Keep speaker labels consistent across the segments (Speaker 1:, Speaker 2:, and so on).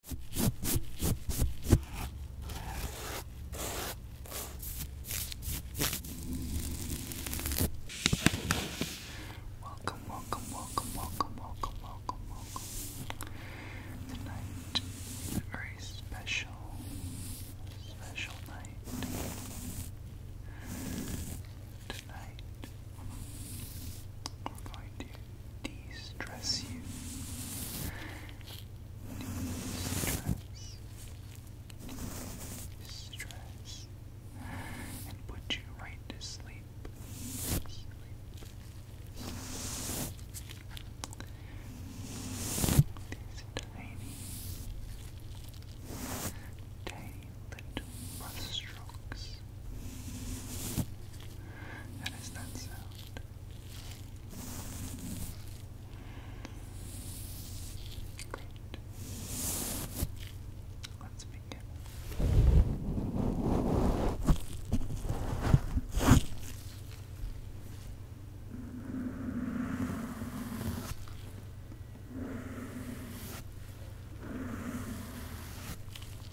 Speaker 1: Welcome, welcome, welcome, welcome, welcome, welcome, welcome. Tonight is a very special, special night. Tonight, we're going to Distress you. De-stress. And put you right to sleep. These tiny, tiny little brush strokes. That is that sound. Great. Let's begin.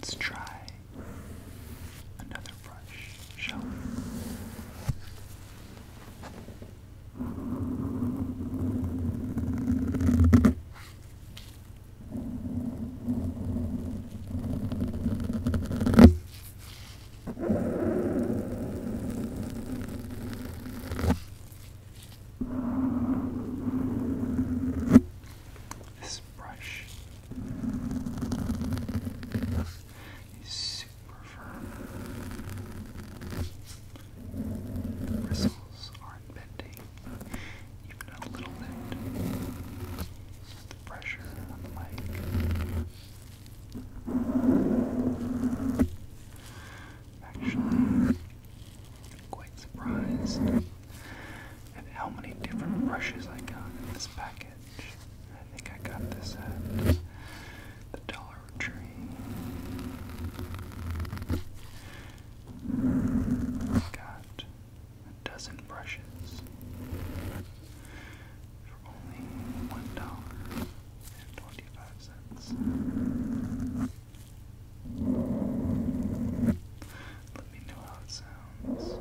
Speaker 1: Let's try another brush, shall we? This brush is super firm bristles aren't bending even a little bit. the pressure on Actually, i quite surprised at how many different brushes I got in this package. I think I got this at the dollar tree. Got a dozen brushes for only one dollar and twenty five cents. Let me know how it sounds.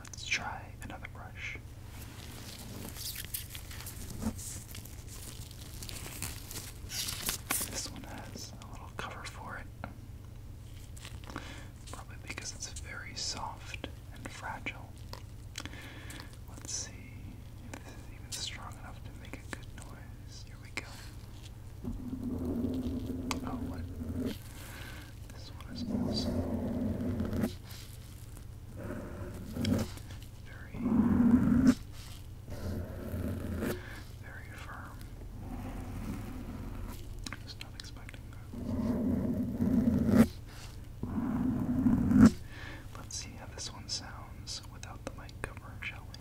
Speaker 1: Let's try another brush. This one has a little cover for it, probably because it's very soft and fragile. Let's see if this is even strong enough to make a good noise. Here we go. Oh, what? This one is also very, very firm. I was not expecting that. Let's see how this one sounds without the mic cover, shall we?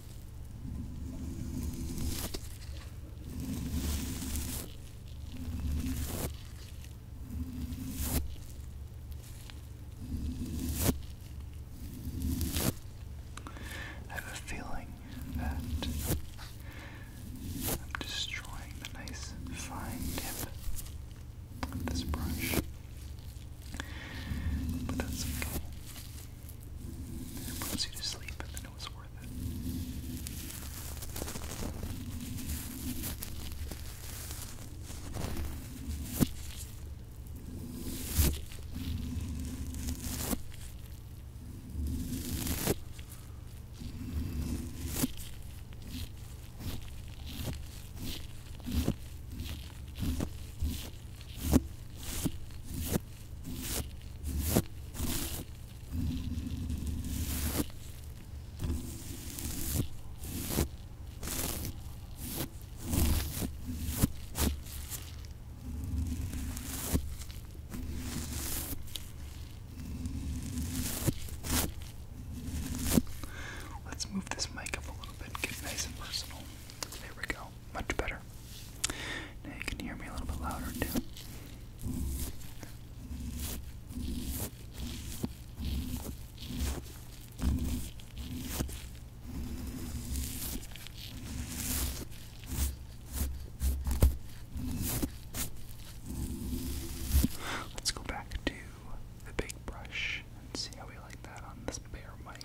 Speaker 1: I have a feeling that I'm destroying the nice fine tip of this brush. But that's okay. It puts you to sleep, and then it was worth it. All Let's move this mic up a little bit and get nice and personal. There we go much better. Now you can hear me a little bit louder too. Let's go back to the big brush and see how we like that on this bare mic.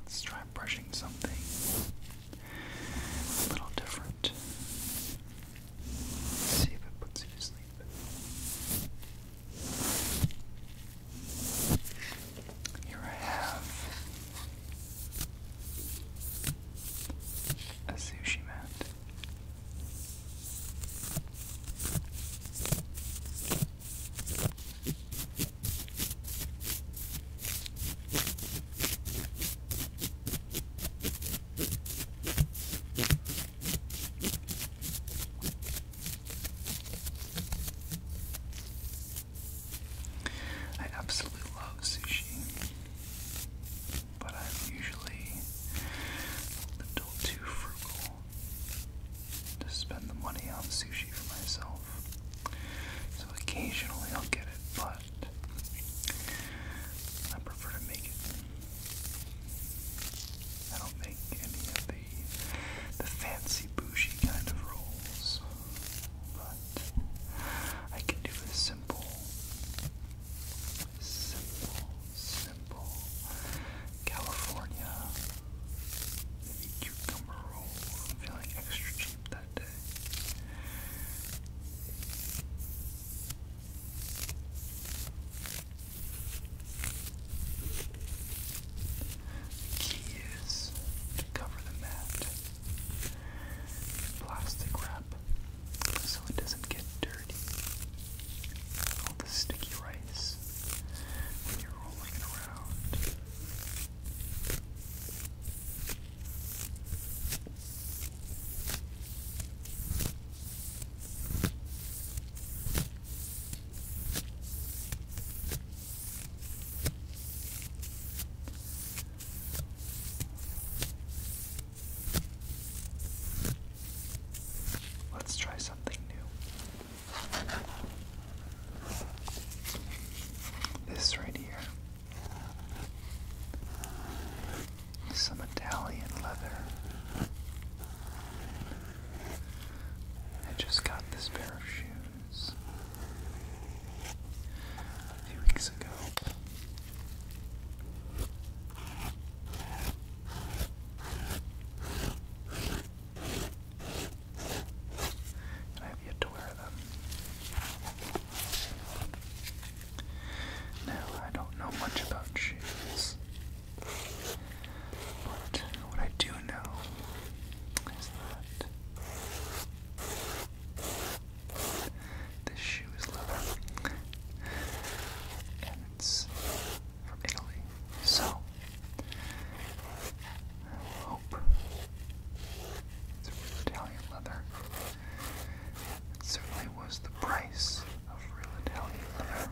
Speaker 1: Let's try brushing something a little different. see if it puts you to sleep. Here I have a sushi mat. I absolutely love sushi, but I'm usually a little too frugal to spend the money on sushi for myself. So occasionally I'll get it, but I prefer to make it. I don't make any of the the fancy bougie kind of rolls, but I can do a simple, simple, simple California cucumber roll. feeling extra cheap that day. The key is to cover the mat in plastic wrap so it doesn't get dirty. All the sticky rice when you're rolling it around. Let's try something new. This right here some Italian leather. I just got this pair of shoes a few weeks ago. I have yet to wear them. Now, I don't know much about shoes. But what I do know is that this shoe is leather, and it's from Italy. So I hope it's real Italian leather. It certainly was the price of real Italian uh,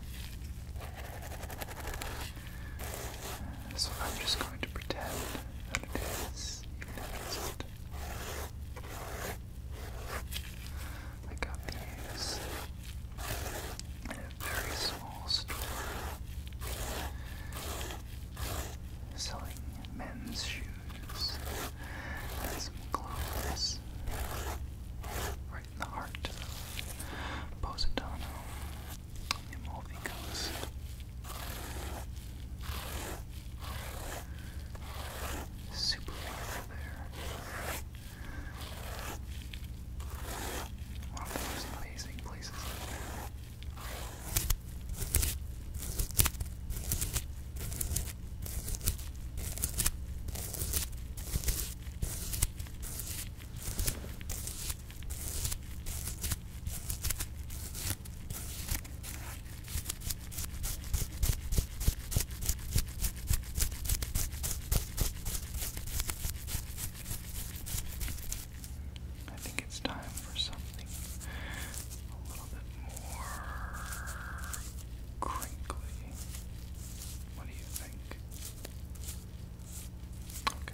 Speaker 1: So I'm just going to pretend that it is, I got these in a very small store selling men's shoes and clothes the heart of Positano Amalfi Coast. Super there. One amazing places I think it's time for something a little bit more crinkly. What do you think? Okay.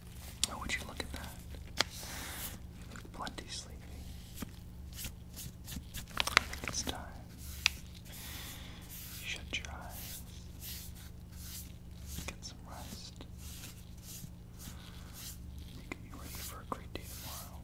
Speaker 1: Oh, would you look at that? You look plenty sleepy. it's time. shut your eyes. Get some rest. You can be ready for a great day tomorrow.